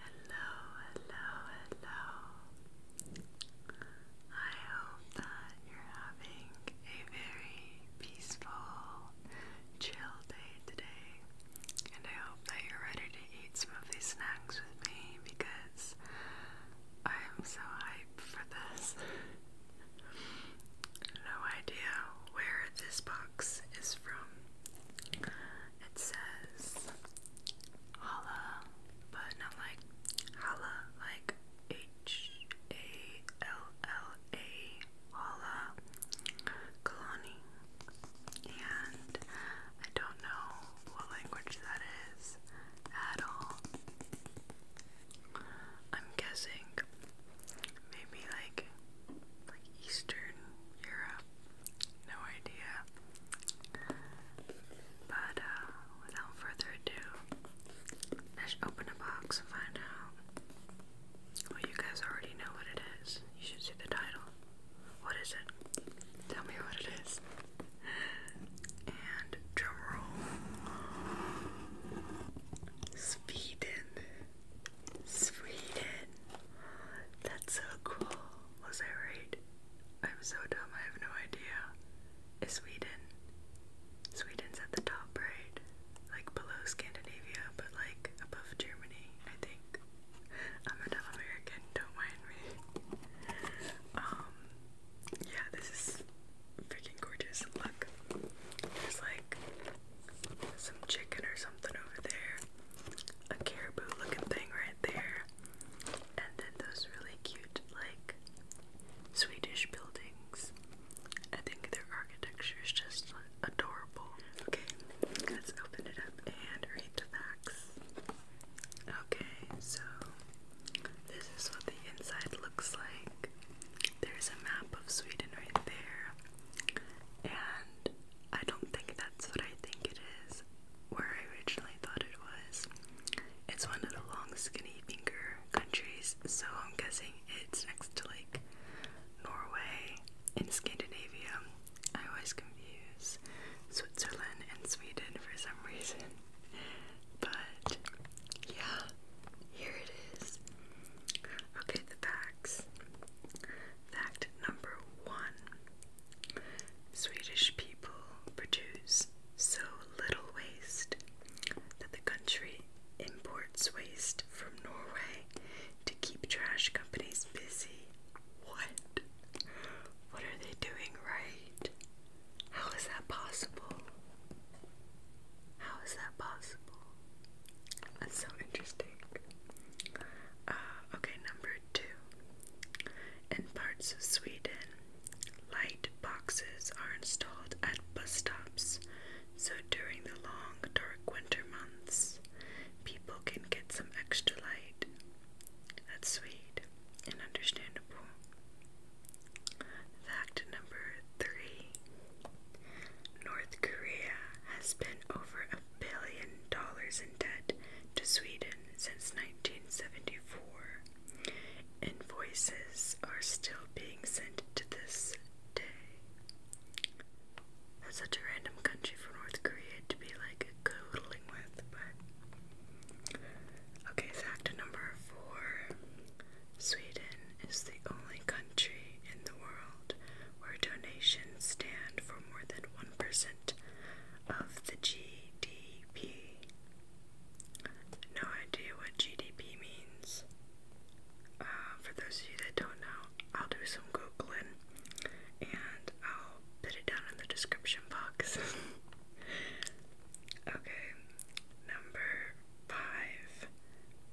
Hello, hello, hello. I hope that you're having a very peaceful, chill day today. And I hope that you're ready to eat some of these snacks with me because I am so hyped for this. no idea where this box box is from. It says holla, but not like holla, like H A L L A holla Kalani. And I don't know what language that is at all. I'm guessing maybe like like Eastern Europe no idea. But uh, without further ado, let's open a box and find out. Well, you guys already know what it is. You should see the title. What is it? Tell me what it is. And drum roll. Sweden. That's so cool. Was I right? I'm so dumb, I have no idea. Sweden? Sweden's at the top right. Like below Scandinavia, but like above Germany, I think. I'm a American, don't mind me. Um yeah, this is freaking gorgeous. Look. There's like some chicken or something over there, a caribou looking thing right there, and then those really cute, like, Swedish buildings. I think their architecture is just adorable. Okay, let's open it up and read the facts. Okay, so this is what the inside looks like. There's a map of Sweden right there, and I don't think that's what I think it is, where I originally thought it was. It's one of the long, skinny finger countries, so I'm guessing it's next to like Norway in Scandinavia. I always confuse Switzerland and Sweden for some reason. But yeah, here it is. Okay, the facts. Fact number one Swedish people produce so little waste that the country imports waste from Norway to keep trash companies busy. What? What are they doing right? How is that possible? How is that possible? That's so interesting. Uh, okay, number two. In parts of Sweden, light boxes are installed at bus stops, so during the long, dark winter months, people can get some extra light. That's sweet and understandable. Fact number three North Korea has been over a billion dollars in debt to Sweden since 1974. Invoices are still being sent to this day. That's such a random country for North Korea to be like coddling with, but. Okay, fact number four Sweden is the only country in world where donations stand for more than 1% of the GDP. No idea what GDP means. Uh, for those of you that don't know, I'll do some Googling and I'll put it down in the description box. okay, number five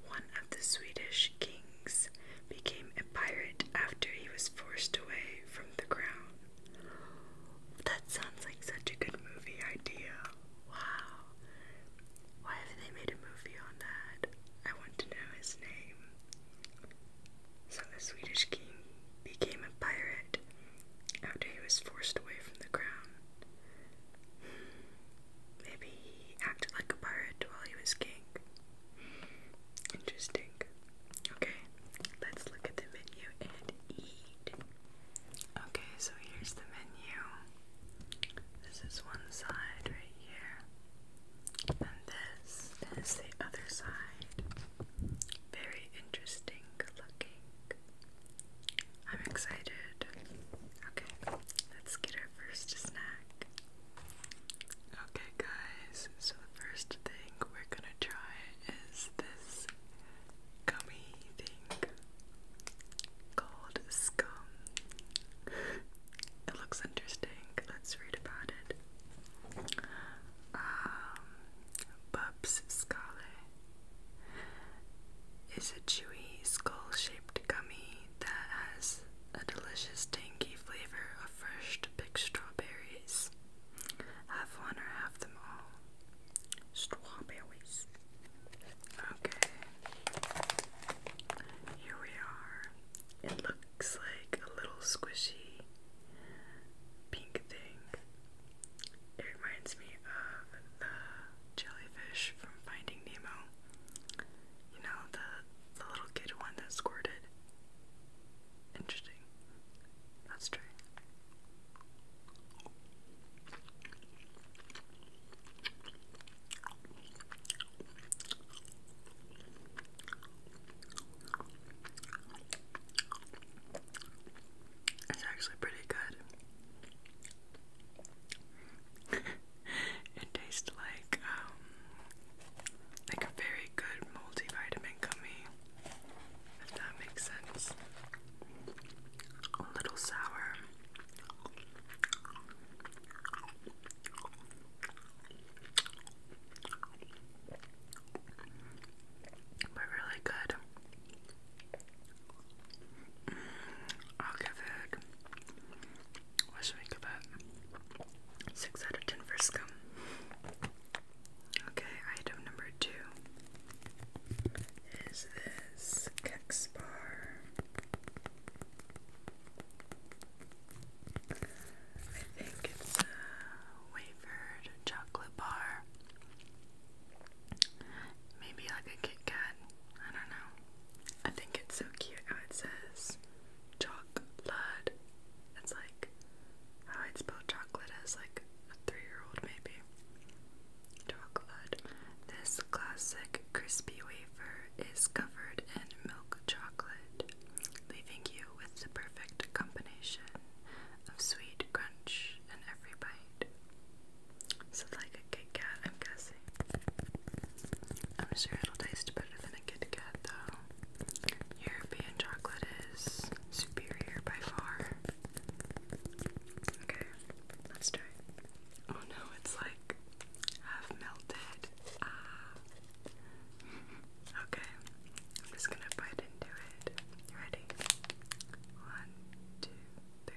one of the Swedish kings, became a pirate after he was forced away from the crown. That sounds like such a good movie idea. Wow. Why haven't they made a movie on that? I want to know his name. So the Swedish king became a pirate after he was forced away from the crown. Hmm. Maybe he acted like a pirate while he was king. Interesting. Okay, let's look at the menu and eat. Okay, so here's the menu. This is one side right here, and this is the other side. Very interesting looking. I'm excited. Okay, let's get our first snack. Okay, guys, so the first thing we're gonna try is this gummy thing called Scum. It looks interesting. Let's read about it. Um, Bubs Scale is a chewy, skull shaped gummy that has a delicious tangy flavor of fresh pick strawberries. Have one or have them all. Strawberries. Okay. Here we are. It looks like a little squishy pink thing. It reminds me of the jellyfish from Finding Nemo. You know, the, the little kid one that squirted. Interesting. Let's It's actually pretty good. it tastes like um, like a very good multivitamin gummy. If that makes sense. A little sour. But really good. Mm, I'll give it what should we give Six out of ten for scum. Okay, item number two is this Kex bar. I think it's a wafered chocolate bar. Maybe like a Kit Kat. I don't know. I think it's so cute how it says chocolate. It's like how I'd spell chocolate as like a three-year-old maybe. Chocolate. This classic crispy wafer is covered in milk chocolate, leaving you with the perfect combination of sweet crunch in every bite. So like a Kit Kat, I'm guessing. I'm sure it'll taste better than a Kit Kat, though. European chocolate is superior by far. Okay, let's try Oh no, it's like half melted. Ah. Okay, I'm just gonna bite into it. You ready? One, two, three.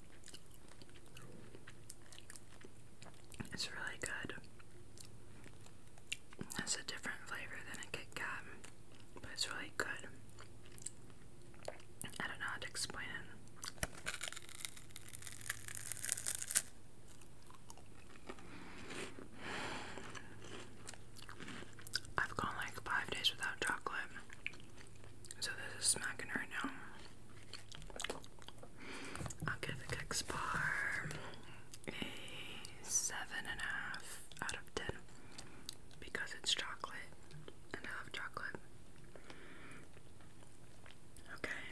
It's really good. It's a different flavor than a Kit Kat, but it's really good. I don't know how to explain it. I've gone like five days without chocolate. So this is smacking right now. I'll give the Kix a seven and a half out of ten because it's chocolate and I love chocolate. Okay,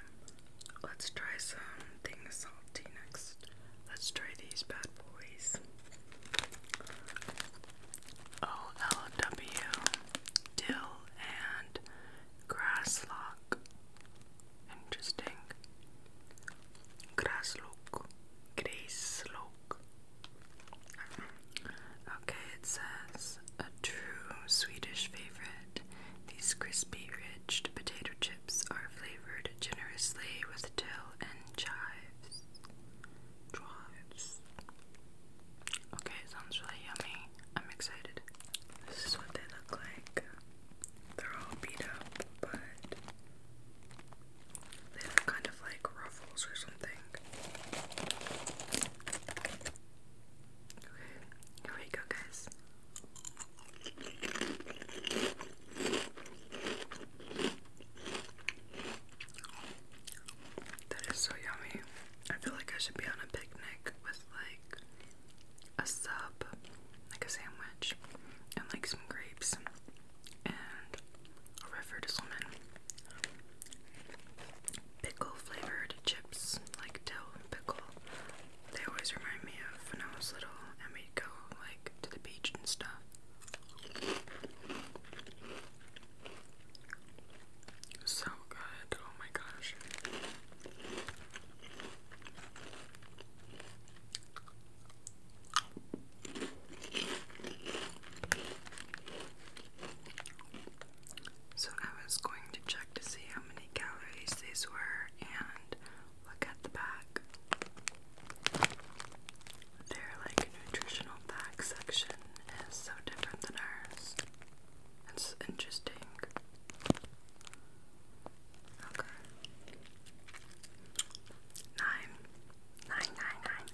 let's try something salty next. Let's try these bad boys. O L W dill and Grasslock. Interesting. Grasslock. Grasslock. Okay, it says a true Swedish favorite. These crispy, rich potato chips are flavored generously with dill and chives. Drives. Okay, sounds really yummy. I'm excited. This is what they look like. They're all beat up, but they look kind of like ruffles or something. Okay, here we go, guys. That is so yummy. I feel like I should be on a picnic with like a sub, like a sandwich, and like some grapes and a redford lemon. Pickle flavored chips, like dill pickle. They always remind me of when I was little and we'd go like to the beach and stuff. So good. Oh my gosh. So I was going to check to see how many calories these were and look at the back. Their like nutritional pack section is so different than ours. That's interesting. Okay. Nine. Nine, nine, nine.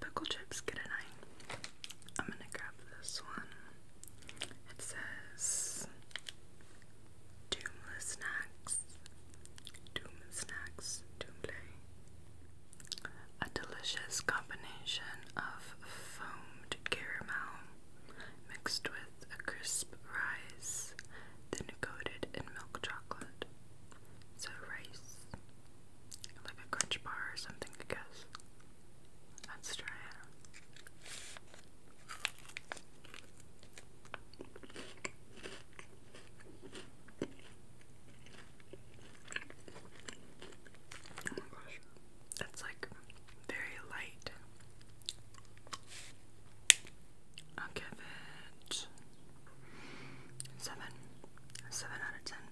pickle chips get a nine. I'm gonna grab this one. It says Doomless Snacks. Doom Snacks. Doom a delicious combination of foamed caramel mixed with a crisp rice, then coated in milk chocolate. So, rice. Like a crunch bar or something, I guess. Let's try it. Oh my gosh. That's like very light. i give it seven. Seven out of ten.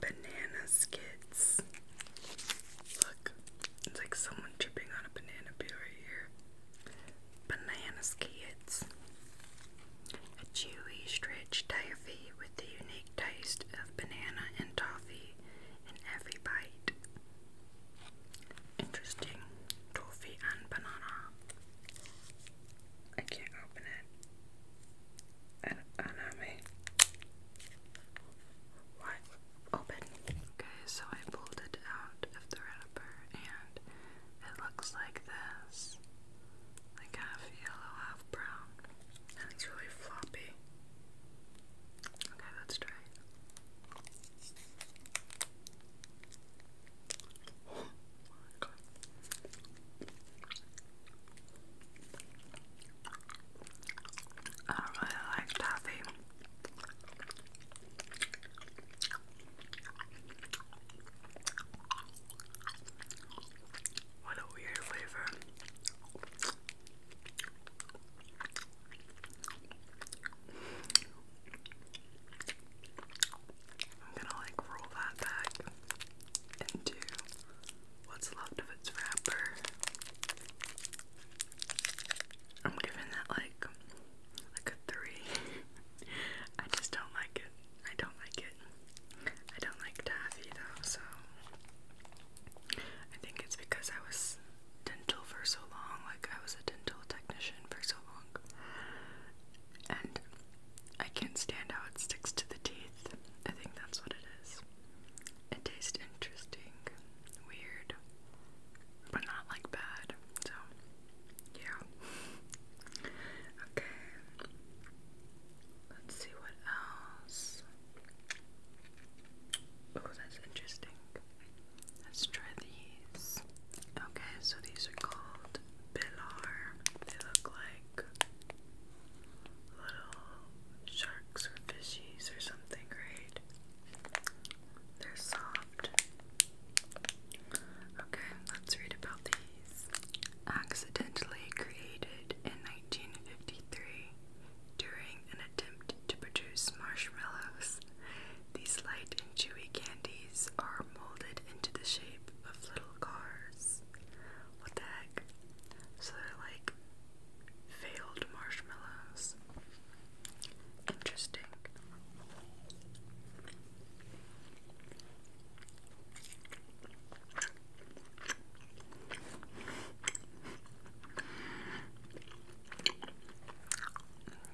Banana skits. Look, it's like someone tripping on a banana peel right here. Banana skits. A chewy, stretched toffee with the unique taste of banana and toffee in every bite. Interesting. Toffee and banana. I can't open it. I do What? Open. Okay, so I pulled it out of the wrapper and it looks like this like half yellow, half brown, and it's really floppy. Okay, let's try I really like toffee. What a weird flavor. I'm gonna like roll that back into what's left of its wrapper. I'm giving that like like a three. I just don't like it. I don't like I don't like taffy though, so I think it's because I was dental for so long, like I was a dental technician for so long. And I can't stand how it sticks to the teeth. I think that's what it is. It tastes interesting, weird, but not like bad. So, yeah. Okay. Let's see what else. Oh, that's interesting. Let's try these. Okay, so these are called Bilar. They look like little sharks or fishies or something, right? They're soft. Okay, let's read about these accidentally created in 1953 during an attempt to produce marshmallows. These light and chewy candies are molded into the shape of little cars. What the heck? So they're like failed marshmallows. Interesting.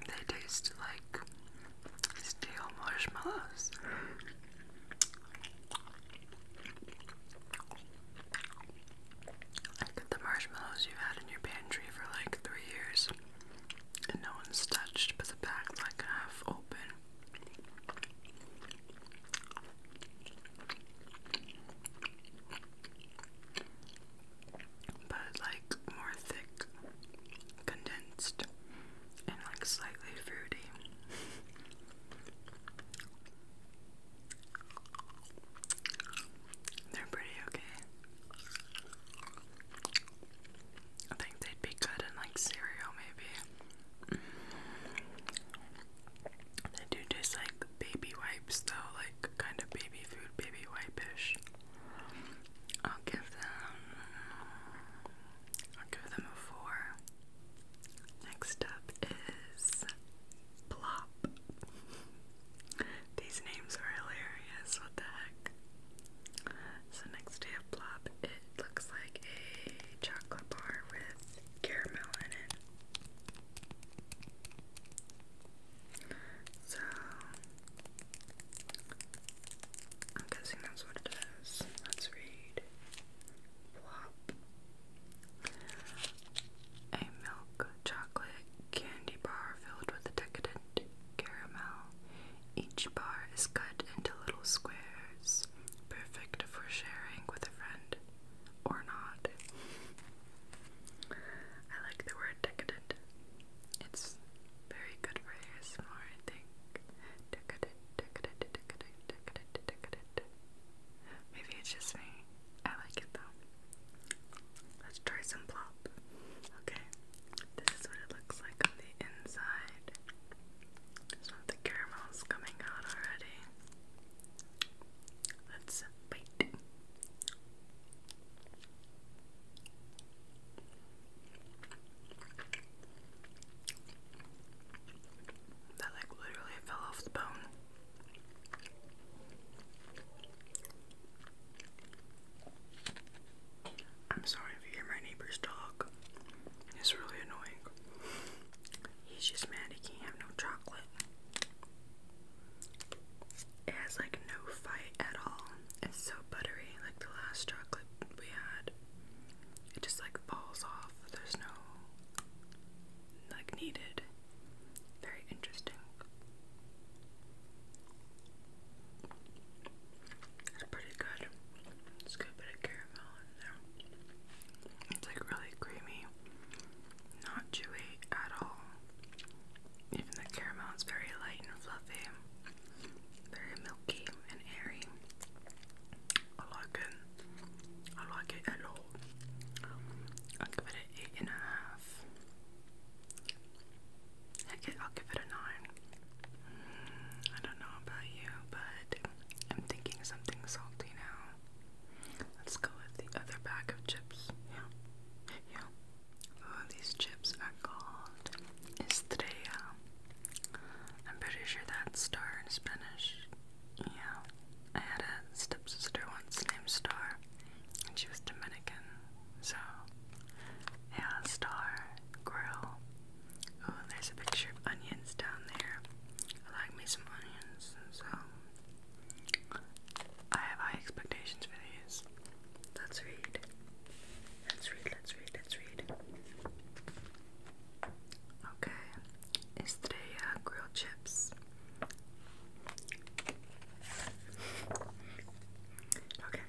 They taste like stale marshmallows. Like the marshmallows you had in your pantry for like three years and no one's touched, but the bag's like half open but like more thick, condensed, and like slightly fruity. They're pretty okay. I think they'd be good in like cereal, maybe. Mm-hmm. They do taste like baby wipes, though, like kind of baby food, baby wipe I'll give them. I'll give them a four. Next up is Plop. These names are hilarious. What the heck? So next I have Blob. It looks like a chocolate bar with caramel in it. So, I'm guessing that's what it is. Let's read. Plop. A milk chocolate candy bar filled with decadent caramel each bar is cut into little squares, perfect for sharing with a friend or not. I like the word decadent. It's very good for ASMR, I think. Decadent, decadent, decadent, decadent, decadent. Maybe it's just me. I like it though. Let's try some plop. Okay, this is what it looks like on the inside. Some of the caramel's coming out already. Let's bite. That like literally fell off the bone. I'm sorry if you hear my neighbor's dog. It's really annoying. He's just mad he can't have no chocolate. It has like no fight at all. It's so buttery, like the last chocolate we had. It just like falls off. There's no like needed. Very interesting. It's pretty good. It's good bit of caramel. It's like really creamy, not chewy at all. Even the caramel is very light and fluffy, very milky and airy. I like it. I like it a lot. I'll give it an eight and a half. Heck I'll give it a nine. I don't know about you, but I'm thinking something salty now. Let's go with the other bag of chips. Yeah. Yeah. Oh, these chips are called Estrella. I'm pretty sure that's star in Spanish. Yeah. I had a stepsister once named Star, and she was Dominican. So, yeah, Star Grill Oh, there's a picture of onions down there. I like me some onions, so I have high expectations for these. Let's read. Let's read, let's read, let's read. Okay, is today uh, grilled chips? okay,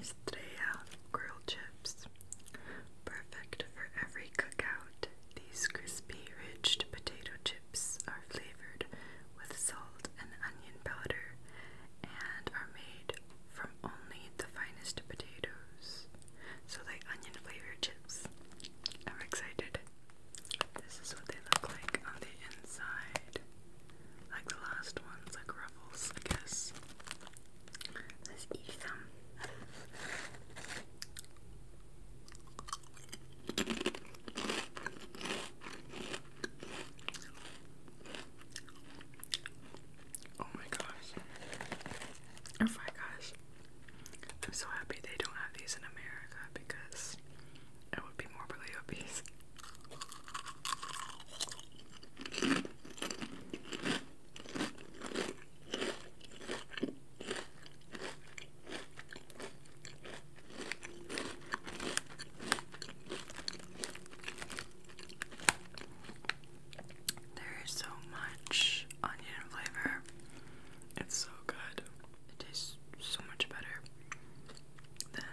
is today uh, grilled chips? Perfect for every cookout, these crispy ridged potato chips are flavored with salt and onion powder and are made from only the finest potatoes. So, like onion flavored chips. I'm excited. This is what they look like on the inside. Like the last ones, like ruffles, I guess. Let's eat Oh my gosh. Oh my gosh. I'm so happy they don't have these in America because it would be morbidly obese. There is so much onion flavor. It's so good. It tastes so much better than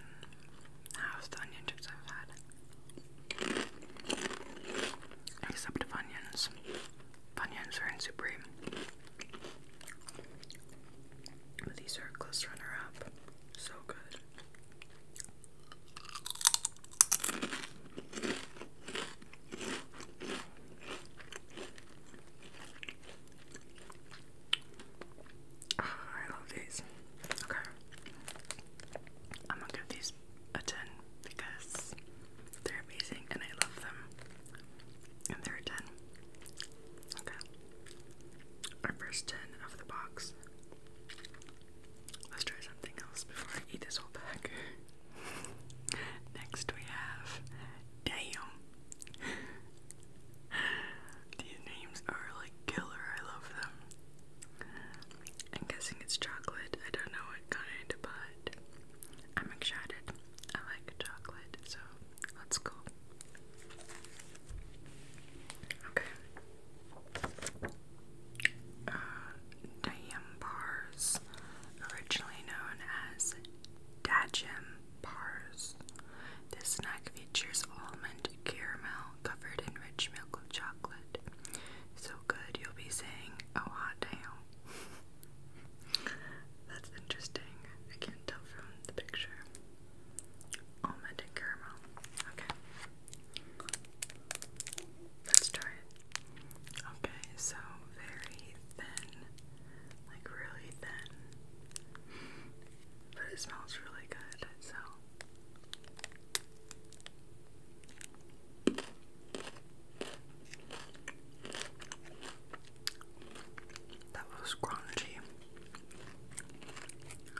half the onion chips I've had. Except Funyuns. Funyuns are in Supreme. these are close runner up. So good. Ah, I love these. Okay. I'm gonna give these a 10 because they're amazing and I love them. And they're a 10. Okay. Our first 10 of the box. Let's try something else before I eat this whole pack. Next we have Damn. These names are like killer. I love them. I'm guessing it's chocolate. I don't know what kind, but I'm excited. I like chocolate, so let's go. Okay. Uh, Dajim bars, originally known as Dajim bars. This snack features almond, caramel, covered in rich milk of chocolate. So good, you'll be saying, oh, hot damn. That's interesting. I can't tell from the picture. Almond and caramel. Okay. Let's try it. Okay, so very thin. Like really thin. But it smells really good, so. That was crunchy.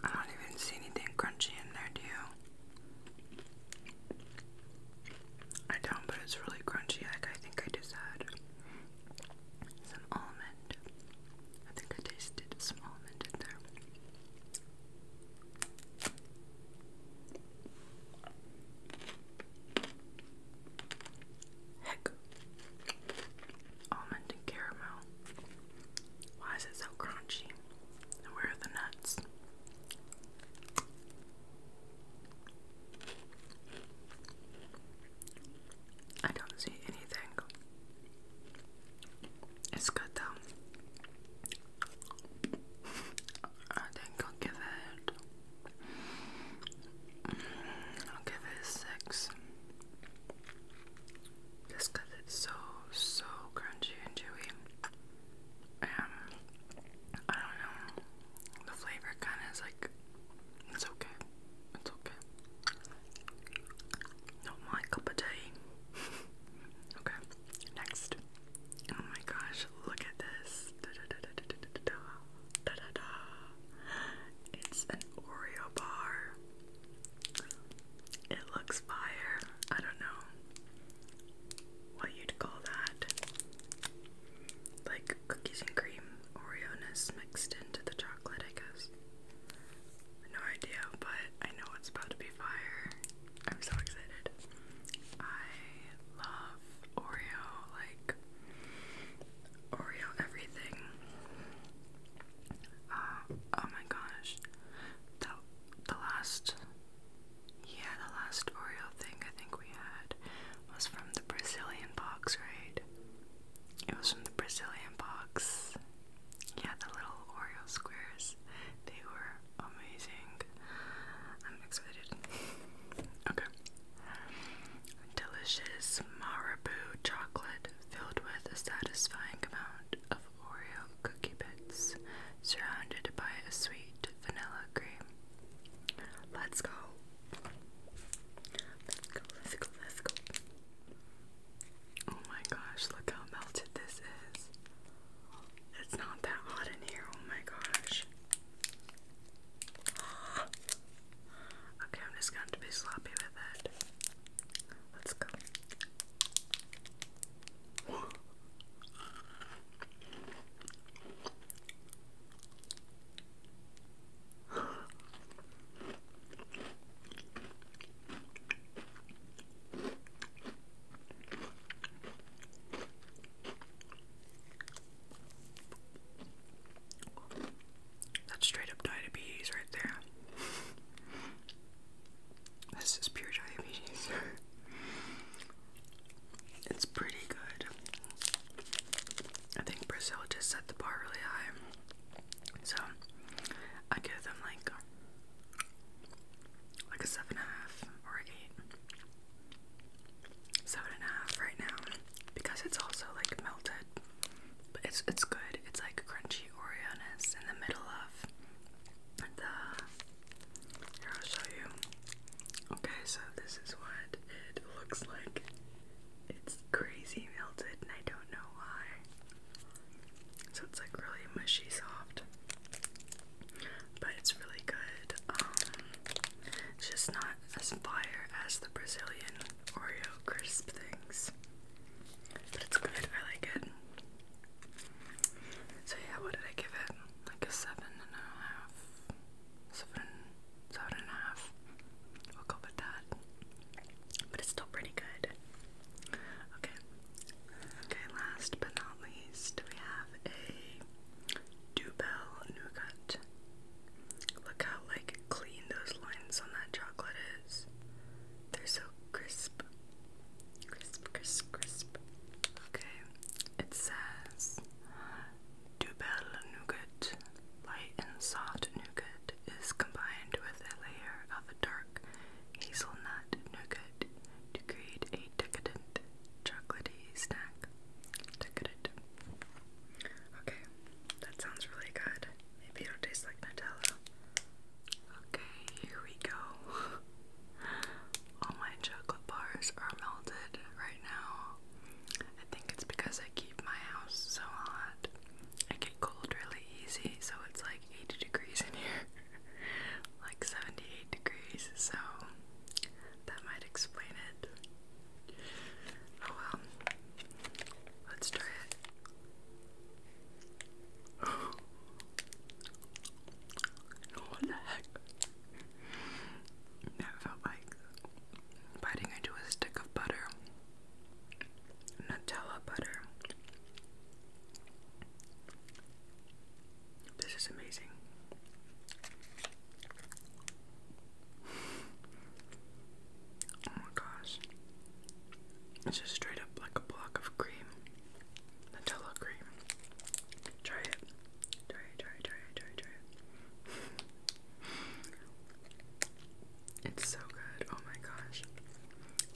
I don't even see anything crunchy in there, do you? I don't, but it's really crunchy. I think I just had some almond. I think I tasted some almond in there. Heck. Almond and caramel. Why is it so crunchy? where are the nuts? I don't see anything. It's good though. I think I'll give it. I'll give it six. Just it's so, so crunchy and chewy. Um, I don't know. The flavor kind of is like, it's okay. It's okay. Not my cup of tea. okay. Next. Oh my gosh, look at this. Da -da -da -da -da -da -da. Da -da -da. It's an Oreo bar. It looks fire. I don't know what you'd call that. Like cookies and cream Oreo-ness mixed into the chocolate, I guess. No idea, but I know it's about to be fire. I'm so excited. I love Oreo, like Oreo everything. Uh, oh my gosh. The the last yeah, the last Oreo thing I think we had was from the Brazilian box, right? It was from the Brazilian box. Yeah, the little Oreo squares, they were amazing. I'm excited. okay. Delicious Marabou chocolate filled with a satisfying amount of Oreo cookie bits, surrounded by a sweet vanilla cream. Let's go. Let's go, let's go, let's go. Oh my gosh, look how melted this is. It's not that hot in here. Oh my gosh. Okay, I'm just going to be sloppy with it. Let's go. That's straight up diabetes right there. this is pure diabetes. it's pretty good. I think Brazil just set the bar really high. So I give them like like a seven and a half or eight. Seven and a half right now because it's also like melted. But it's it's good. It's like crunchy Oreoness in the middle of the here I'll show you. Okay, so this is what it looks like. It's crazy melted and I don't know why. So it's like really mushy soft. But it's really good. Um, it's just not as fire as the Brazilian Oreo crisp things. But it's good. I like it. So yeah, what did I give it? Like a seven and Seven, seven and a half. We'll go with that. But it's still pretty good. Okay, Okay, last but not least, we have a Dubel nougat. Look how like clean those lines on that chocolate is. They're so crisp. Crisp, crisp, crisp. Okay, it says Dubel nougat. Light and soft nougat is combined with a layer of a dark hazelnut nougat to create a decadent chocolatey snack. Decadent. Okay, that sounds really good. Maybe it'll taste like Nutella. Okay, here we go. All my chocolate bars are melted right now. I think it's because I keep my house so hot. I get cold really easy, so it's like 80 degrees in here like 78 degrees, so that might explain it. Oh well, let's try it. what the heck? That felt like biting into a stick of butter, Nutella butter. This is amazing. oh my gosh. It's just straight up like a block of cream. Nutella cream. Try it. Try it, try it, try it, try it, try it. it's so good. Oh my gosh.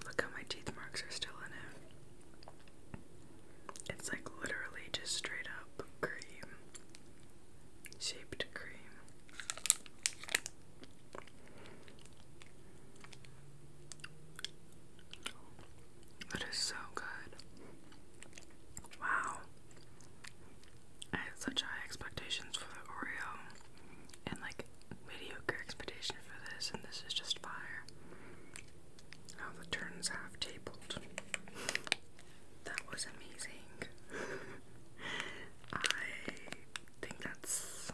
Look how my teeth marks are still in it. It's like literally just straight up cream, shaped cream. That is so good. Wow. I had such high expectations for the Oreo and like mediocre expectation for this, and this is just fire. How oh, the turns half tabled. That was amazing. I think that's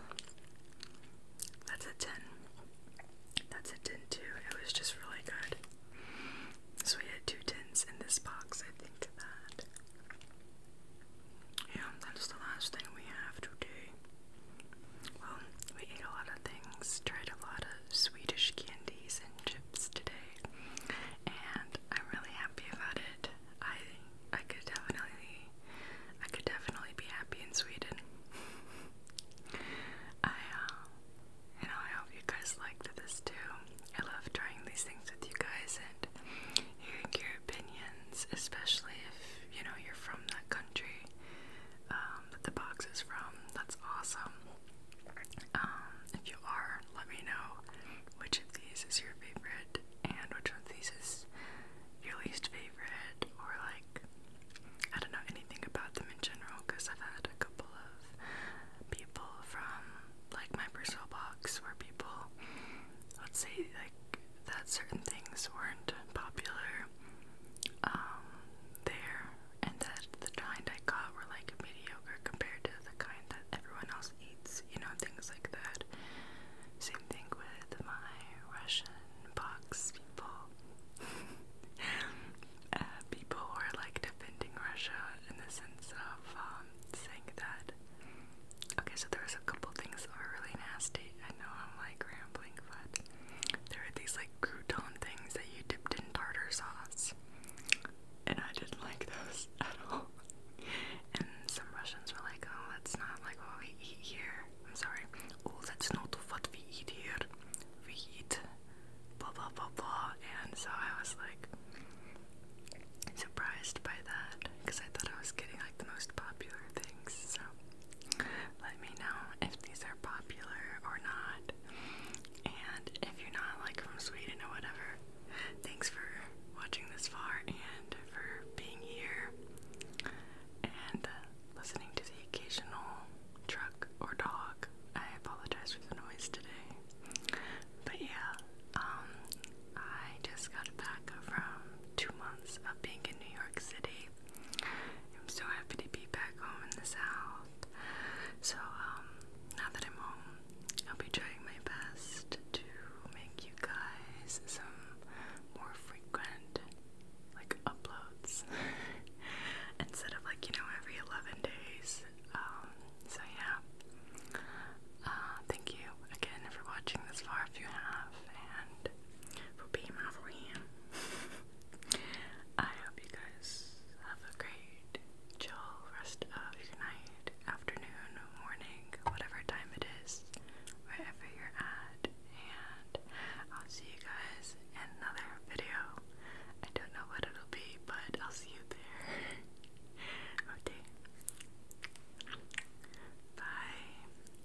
that's a ten. That's a tin too. It was just really good. So we had two tins in this box, I think that. Yeah, that's the last thing we have to today. Well, we ate a lot of things, tried a lot of Swedish candies and chips today, and I'm really happy about it. I I could definitely I could definitely be happy in Sweden. I uh, you know I hope you guys liked this too. I love trying these things with you guys and hearing your opinions, especially if you know you're from that country um, that the box is from. That's awesome. Um, if you are, let me know which of these is your favorite and which one of these is your least favorite, or like I don't know anything about them in general because I've had a couple of people from like my personal box where people, let's say, like that certain things weren't popular um, there, and that the kind I got were like mediocre compared to the kind that everyone else eats, you know, things like that. Same thing with my Russian box people. uh, people were like defending Russia in the sense of um, saying that. Okay, so there was a couple things that were really nasty. I know I'm like there were these like crouton things that you dipped in tartar sauce. And I didn't like those at all. And some Russians were like, oh, that's not like what we eat here. I'm sorry. Oh, that's not what we eat here. We eat blah blah blah blah. And so I was like surprised by that because I thought I was getting like the most popular things. So let me know if these are popular or not. And if you're not like from Sweden or whatever, thanks for watching this far and for being here and listening to the occasional truck or dog. I apologize for the noise today. But yeah, um, I just got back from two months of being in New York City I'm so happy to be back home in the South. So, um, now that I'm home, I'll be trying my best to make you guys some more frequent, like, uploads. Instead of, like, you know, every 11 days. Um, so yeah. Uh, thank you again for watching this far if you have, for being my friend. I hope you guys have a great chill rest of your night, afternoon, morning, whatever time it is, wherever you're at, and I'll see you guys in another video. I don't know what it'll be, but I'll see you there. okay. Bye.